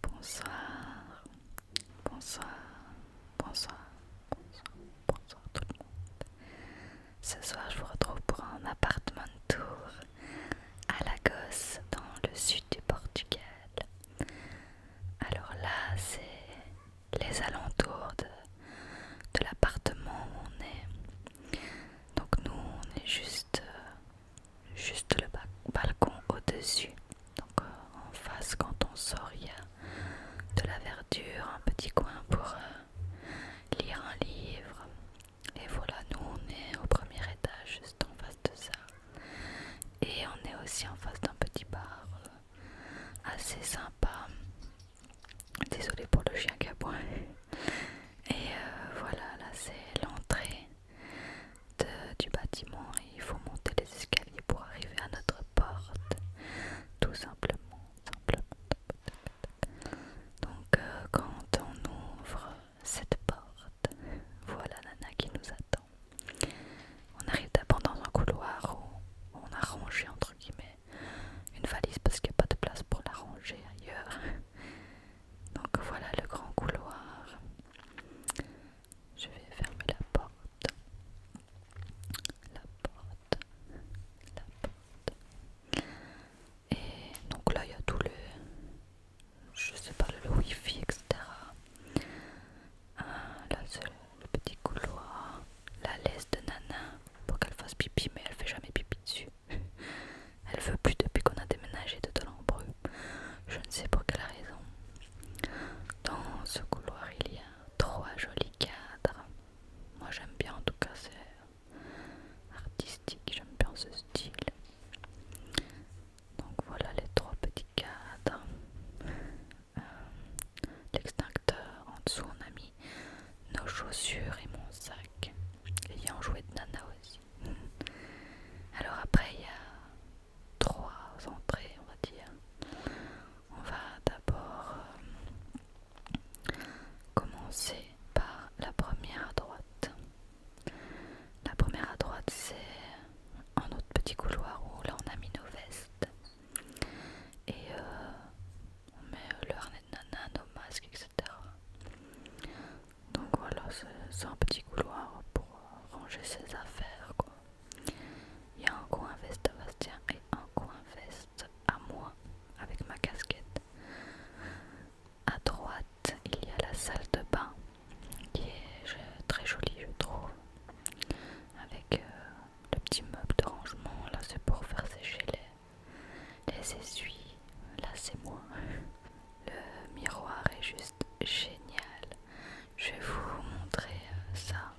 Bonsoir, bonsoir, bonsoir, bonsoir, bonsoir tout le monde. Ce soir, je vous retrouve pour un appartement tour à Lagos, dans le sud du Portugal. Alors là, c'est les alentours de, de l'appartement où on est. Donc nous, on est juste euh, juste le balcon au-dessus. Donc euh, en face, quand on sort, il y a de la verdure, un petit coin pour euh, lire un livre. Et voilà, nous on est au premier étage, juste en face de ça. Et on est aussi en face d'un petit bar euh, assez sympa. Désolé pour le chien qui Et voilà, là c'est l'entrée du bâtiment et il faut monter les escaliers pour arriver à notre porte. Tout simplement. Donc euh, quand on ouvre cette porte, voilà Nana qui nous attend. On arrive d'abord dans un couloir où on a rangé entre guillemets une valise parce qu'il n'y a pas de place pour la ranger ailleurs. Donc voilà le grand couloir. Je vais fermer la porte. La porte. La porte. Et donc là il y a tout le... Je sais pas, le wifi, etc. Ah, là c'est le petit couloir. La laisse de Nana pour qu'elle fasse pipi mais elle fait jamais pipi dessus. Elle veut plus depuis qu'on a déménagé de Tolombru. Je ne sais pour quelle raison. Dans ce couloir, il y a trois jolis cadres. Moi, j'aime bien en tout cas, c'est artistique, j'aime bien ce style. Donc voilà les trois petits cadres. Euh, l'extincteur, en dessous on a mis nos chaussures et mon sac. Et il y a jouet de nana aussi. Alors après il y a trois entrées on va dire. On va d'abord euh, commencer par la première à droite. La première à droite c'est un autre petit couloir où là on a mis nos vestes. Et euh, on met le harnais de nana, nos masques, etc. Donc voilà, c'est un petit couloir pour euh, ranger ses affaires. Il y a un coin veste Bastien et un coin veste à moi avec ma casquette. À droite, il y a la salle de bain qui est très jolie, je trouve, avec euh, le petit meuble de rangement. Là, c'est pour faire sécher les, les essuies là c'est moi. Le miroir est juste génial. Je vais vous montrer euh, ça.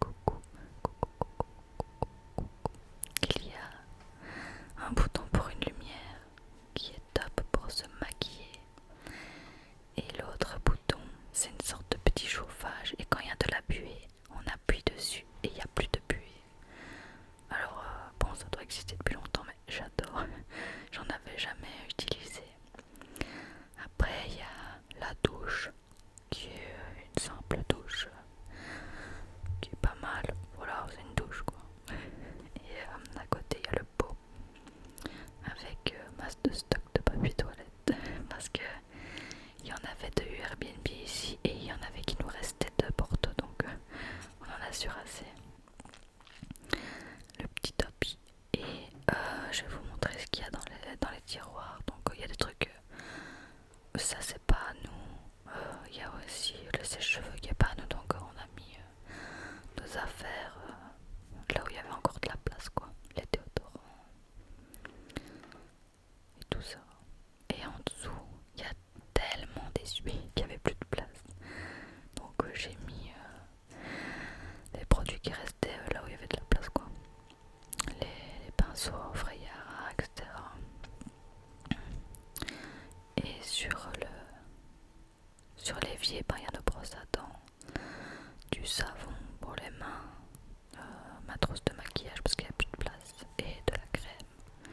Coucou, coucou, coucou, coucou. Il y a un bouton pour une lumière qui est top pour se maquiller. Et l'autre bouton, c'est une sorte de petit chauffage. Et quand il y a de la buée, on appuie dessus et il n'y a plus de buée. Alors, euh, bon, ça doit exister depuis longtemps, mais j'adore. J'en avais jamais utilisé. Après, il y a la douche qui est une simple douche qui est pas mal. Voilà, c'est une douche quoi. Et euh, à côté, il y a le pot avec euh, masse de stock de papier toilette parce que il y en avait de Airbnb ici et il y en avait qui nous restaient de Porto donc euh, on en a sur assez le petit topi et euh, je vais vous montrer ce qu'il y a dans les, tiroirs donc il y a des trucs euh, ça c'est pas à nous euh, il y a aussi le sèche-cheveux qui est pas à nous donc on a mis nos affaires là où il y avait encore de la place quoi les déodorants et tout ça et en dessous il y a tellement déçu qu'il n'y avait plus de place. Donc euh, j'ai mis euh, les produits qui restaient euh, là où il y avait de la place quoi. Les, pinceaux Freyara, etc. Et sur le sur l'évier, ben, il y a de brosse à dents, du savon pour les mains, ma trousse de maquillage parce qu'il n'y a plus de place et de la crème.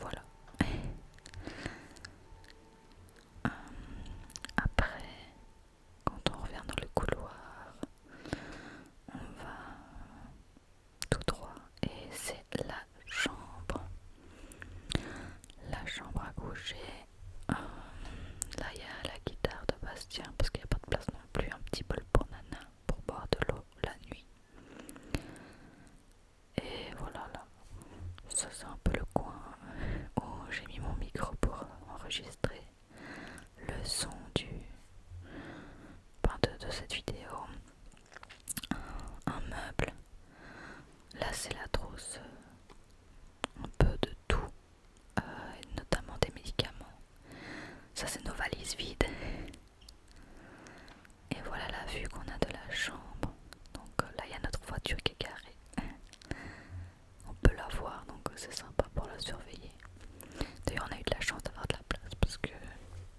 Voilà. Euh, après, quand on revient dans le couloir, on va tout droit et c'est la chambre. La chambre à coucher. Euh, là, il y a la guitare de Bastien parce qu'il n'y a pas de place non plus. Un petit bol pour Nana pour boire de l'eau la nuit. Et voilà là, ça c'est un peu le coin où j'ai mis mon micro pour enregistrer le son du ben, de, de cette vidéo. Un, meuble. Là c'est la trousse euh, un peu de tout, euh, notamment des médicaments. Ça c'est nos valises vides. Et voilà la vue qu'on a de la chambre. Donc euh, là, il y a notre voiture qui est carrée. On peut la voir, donc euh, c'est sympa pour la surveiller. D'ailleurs, on a eu de la chance d'avoir de la place parce que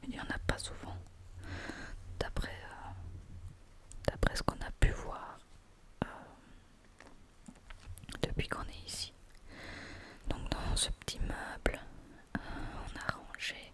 il n'y en a pas souvent. D'après euh, d'après ce qu'on a pu voir depuis qu'on est ici. Donc dans ce petit meuble, on a rangé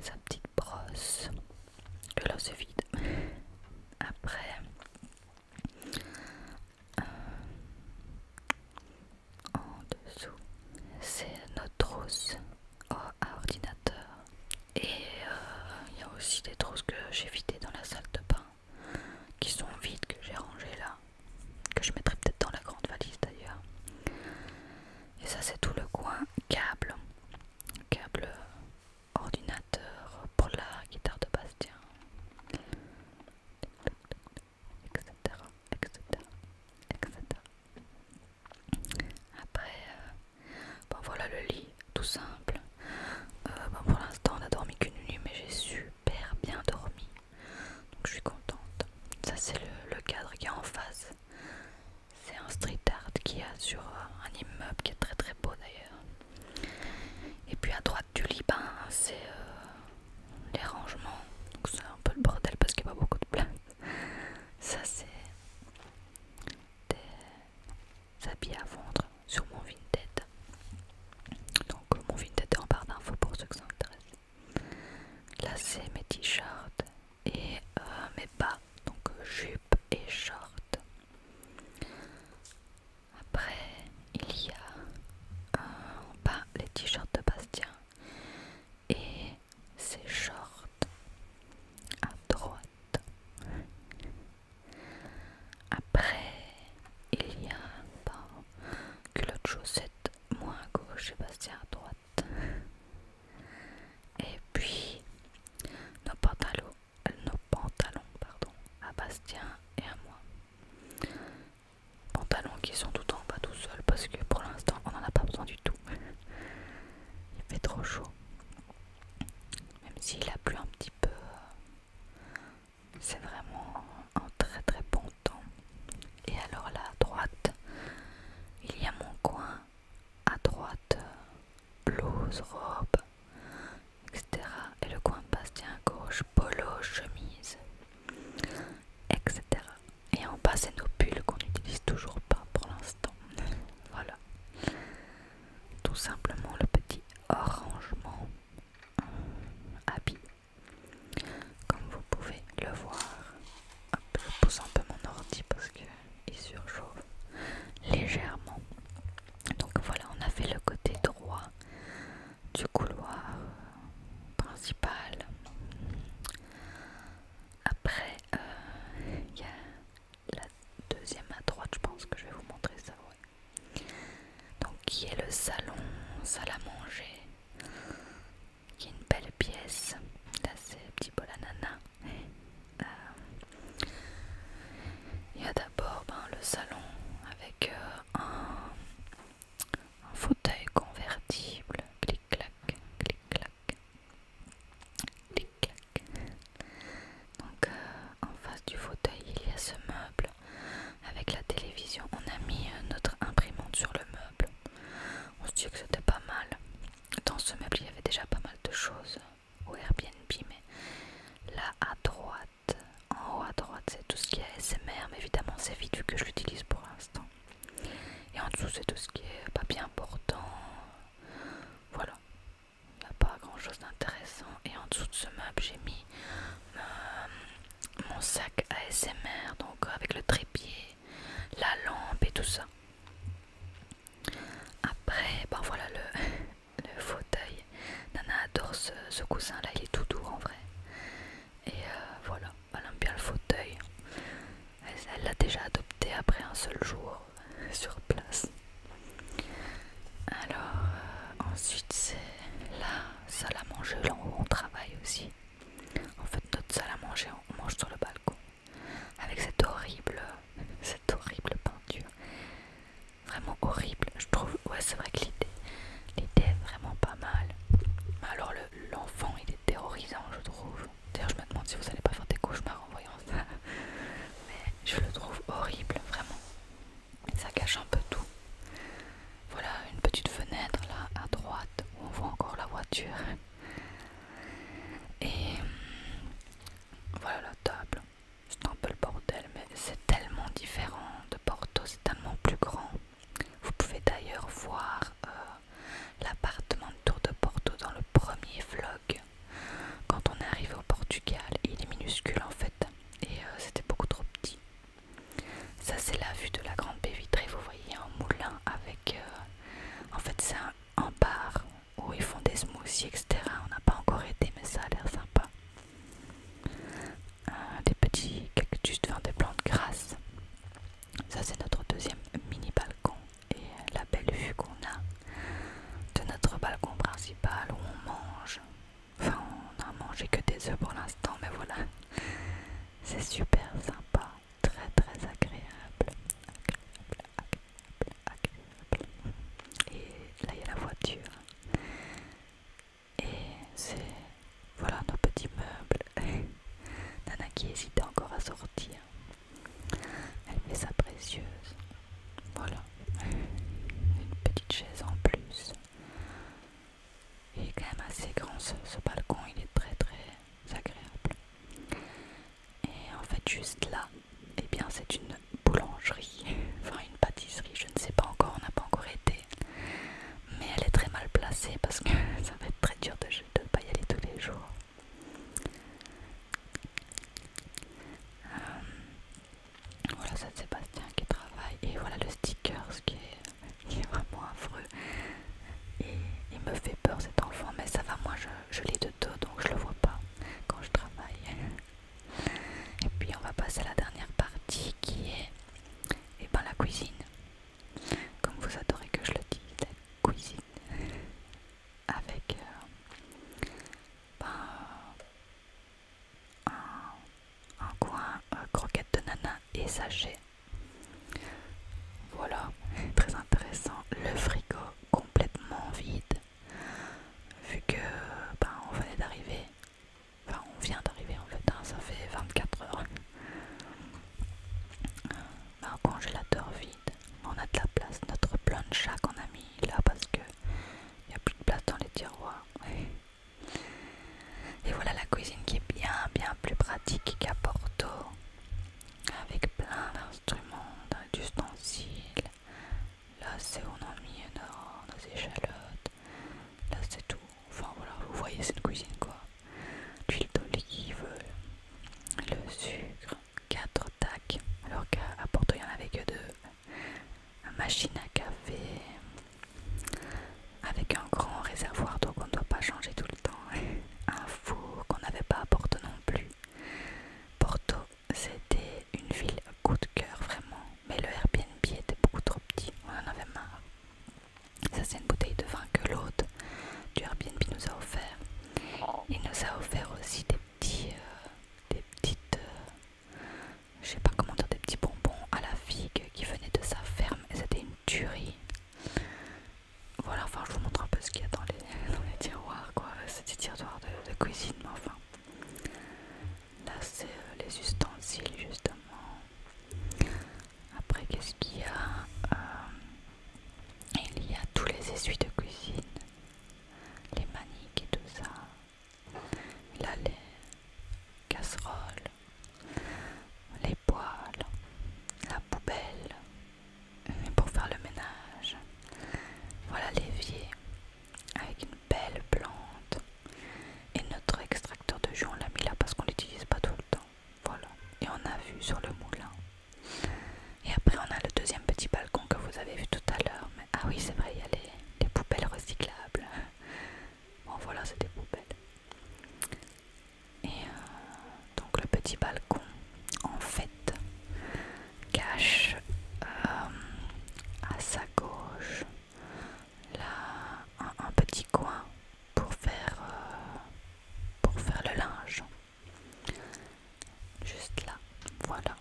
sa petite brosse que là c'est vide après euh, en dessous c'est notre trousse à ordinateur et euh, il y a aussi des trousses que j'ai vidées dans la salle de bain qui sont vides que j'ai rangées là que je mettrai peut-être dans la grande valise d'ailleurs et ça c'est tout le coin câble câble ordinateur pour la guitare de Bastien, etc. Après, euh, ben voilà le lit, tout simple. Euh, ben pour l'instant, on n'a dormi qu'une nuit, mais j'ai super bien dormi. Donc je suis contente. Ça, c'est le, le cadre qui est en face. C'est un street art qu'il y a sur euh, un immeuble qui est très très beau d'ailleurs. Et puis à droite du Liban, c'est euh, les rangements. Donc c'est un peu le bordel parce qu'il n'y a pas beaucoup de place. Ça c'est des habits à vendre sur mon Vinted. Donc mon Vinted est en barre d'infos pour ceux que ça intéresse. Là c'est mes t-shirts, et euh, mes bas, donc euh, jupe et short. Après, il y a euh, les t-shirts de Bastien et ses shorts à droite. Après, il y a ben, culotte chaussette, moins à gauche et Bastien à droite. Et puis euh, nos pantalons, pardon, à Bastien et à moi. Pantalons qui sont tout en bas tout seuls parce que pour l'instant on n'en a pas besoin du tout. Il fait trop chaud. Même s'il a plu un petit peu, c'est vraiment un très très bon temps. Et alors là à droite, il y a mon coin à droite, blouse, robe, etc. Et le coin bastien à gauche, polo, chemise, etc. Et en bas, c'est nos pulls qu'on n'utilise toujours pas pour l'instant. voilà. Tout simplement le petit arrangement euh, habit, comme vous pouvez le voir je pousse un peu mon ordi parce qu'il surchauffe légèrement. Donc voilà, on a fait le côté droit du couloir principal. Après, euh, il y a la deuxième à droite, je pense que je vais vous montrer ça. Donc qui est le salon, salle à manger, qui est une belle pièce. Là, c'est petit bol euh, il y a d'abord ben, le salon avec euh, un, fauteuil convertible. Clic-clac, clic-clac, clic-clac. Donc, euh, en face du fauteuil, il y a ce meuble. Avec la télévision, on a mis notre imprimante sur le meuble. On se dit que c'était pas mal dans ce meuble il y avait déjà pas mal de choses au Airbnb mais là à droite en haut à droite c'est tout ce qui est ASMR mais évidemment c'est vite que je l'utilise pour l'instant et en dessous c'est tout ce qui est bien important voilà il n'y a pas grand chose d'intéressant et en dessous de ce meuble j'ai mis euh, mon sac ASMR donc avec le trépied la lampe et tout ça après, ben voilà le, fauteuil. Nana adore ce, cousin coussin-là, il est tout doux en vrai. Et euh, voilà, elle aime bien le fauteuil. Elle l'a déjà adopté après un seul jour sur place. Alors, euh, ensuite, c'est la salle à manger, là où on travaille aussi. En fait, notre salle à manger, on mange sur le balcon avec cette horrible, cette horrible peinture. Vraiment horrible, je trouve. Ouais, c'est vrai que l'idée, l'idée est vraiment pas mal. alors, l'enfant, il est terrorisant, je trouve. D'ailleurs, je me demande si vous allez pas faire des cauchemars en voyant ça. Mais je le trouve horrible, vraiment. Ça cache un peu tout. Voilà une petite fenêtre là à droite où on voit encore la voiture. Et euh, voilà la table. C'est un peu le bordel, mais c'est tellement différent de Porto, c'est tellement plus grand. Vous pouvez d'ailleurs voir euh, l'appartement de Tour de Porto dans le premier vlog. Quand on est arrivé au Portugal, il est minuscule en fait, et euh, c'était beaucoup trop petit. Ça, c'est la vue de la grande baie vitrée. Vous voyez un moulin avec. en fait, c'est un, en bar où ils font des smoothies, etc. On n'a pas encore été, mais ça a l'air sympa. Euh, des petits cactus, devant des plantes grasses. Ça, c'est notre deuxième mini balcon et la belle vue qu'on a de notre balcon principal où on mange. Enfin, on n'a mangé que des œufs pour l'instant, mais voilà, c'est super sympa très très agréable. Agréable, agréable, agréable. Et là il y a la voiture. Et c'est... Voilà nos petits meubles. Nana qui hésite encore à sortir. Elle fait sa précieuse. Voilà. Une petite chaise en plus. Il est quand même assez grand ce balcon. Il est très très agréable. Et en fait, juste là, Et eh bien, c'est une boulangerie, enfin une pâtisserie, je ne sais pas encore, on n'a pas encore été. Mais elle est très mal placée parce que ça va être très dur de ne pas y aller tous les jours. Euh, voilà, ça de Sébastien qui travaille. Et voilà le sticker, ce qui est vraiment affreux et il me fait peur cet enfant, mais ça va, moi je, je l'ai de dos donc je le vois pas quand je travaille. Et puis on va passer à la dernière partie qui est et eh ben, la cuisine. Comme vous adorez que je le dise, cuisine. Avec euh, ben, euh, un, coin euh, croquette de nana et sachet Voilà, très intéressant. Le frigo complètement vide, vu que ben, on venait d'arriver. Enfin, on vient d'arriver en fait, hein. ça fait 24 heures. Un ben, congélateur vide, on a de la place. Notre plancha qu'on a mis là parce que il n'y a plus de place dans les tiroirs. Et voilà la cuisine qui est bien, bien plus pratique qu'à Porto avec plein d'instruments, d'ustensiles. Là, c'est on a mis une échalotes. Là, c'est tout. Enfin, voilà, vous voyez, c'est une cuisine quoi. L'huile d'olive, le sucre, quatre tacs. Alors qu'à Porto, il y en avait que deux. machine à café avec un grand réservoir donc on ne doit pas changer tous un four qu'on n'avait pas à Porto non plus. Porto, c'était une ville coup de cœur vraiment, mais le Airbnb était beaucoup trop petit, on en avait marre. Ça c'est une bouteille de vin que l'hôte du Airbnb nous a offert. Il nous a offert aussi des petits, euh, des petites, euh, je sais pas comment dire, des petits bonbons à la figue qui venaient de sa ferme et c'était une tuerie. Voilà, enfin je vous montre un peu ce qu'il y a dans les, tiroirs, quoi. C'est des tiroirs de, cuisine, mais enfin. Là, c'est euh, les ustensiles, justement. Après, qu'est-ce qu'il y a euh, Il y a tous les essuies de cuisine, les maniques et tout ça. Là, les casseroles, les poêle, la poubelle pour faire le ménage. Voilà l'évier avec une belle plante. Et notre extracteur de jus, on l'a mis là parce qu'on l'utilise pas tout le temps. Voilà. Et on a vu sur le moulin. Et après, on a le deuxième petit balcon que vous avez vu tout à l'heure. Mais... Ah oui, c'est vrai, il y a les, poubelles recyclables. Bon, voilà, c'était des poubelles. Et euh, donc le petit balcon, en fait, cache euh, à sa gauche là, un, petit coin pour faire, euh, pour faire le linge. Juste là, voilà.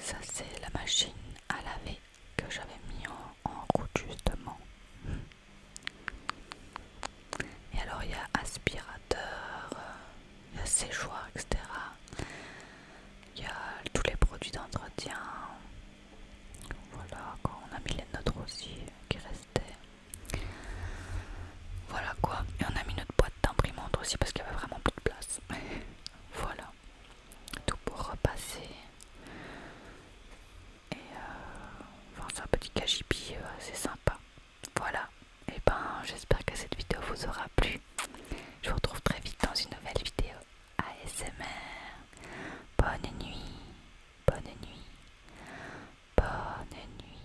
Ça c'est la machine à laver que j'avais mis en en route justement. Et alors il y a aspirateur, il y a séchoir, etc. Il y a tous les produits d'entretien. Voilà, quoi. on a mis les nôtres aussi qui restaient. Voilà quoi. Et on a mis notre boîte d'imprimante aussi parce qu'il y avait vraiment plus de place. voilà. Tout pour repasser. Et euh, c'est un petit cagipi C'est euh, sympa. Voilà. Et ben, j'espère que cette vidéo vous aura plu. Je vous retrouve très vite dans une nouvelle vidéo ASMR. Bonne nuit. Bonne nuit. Bonne nuit.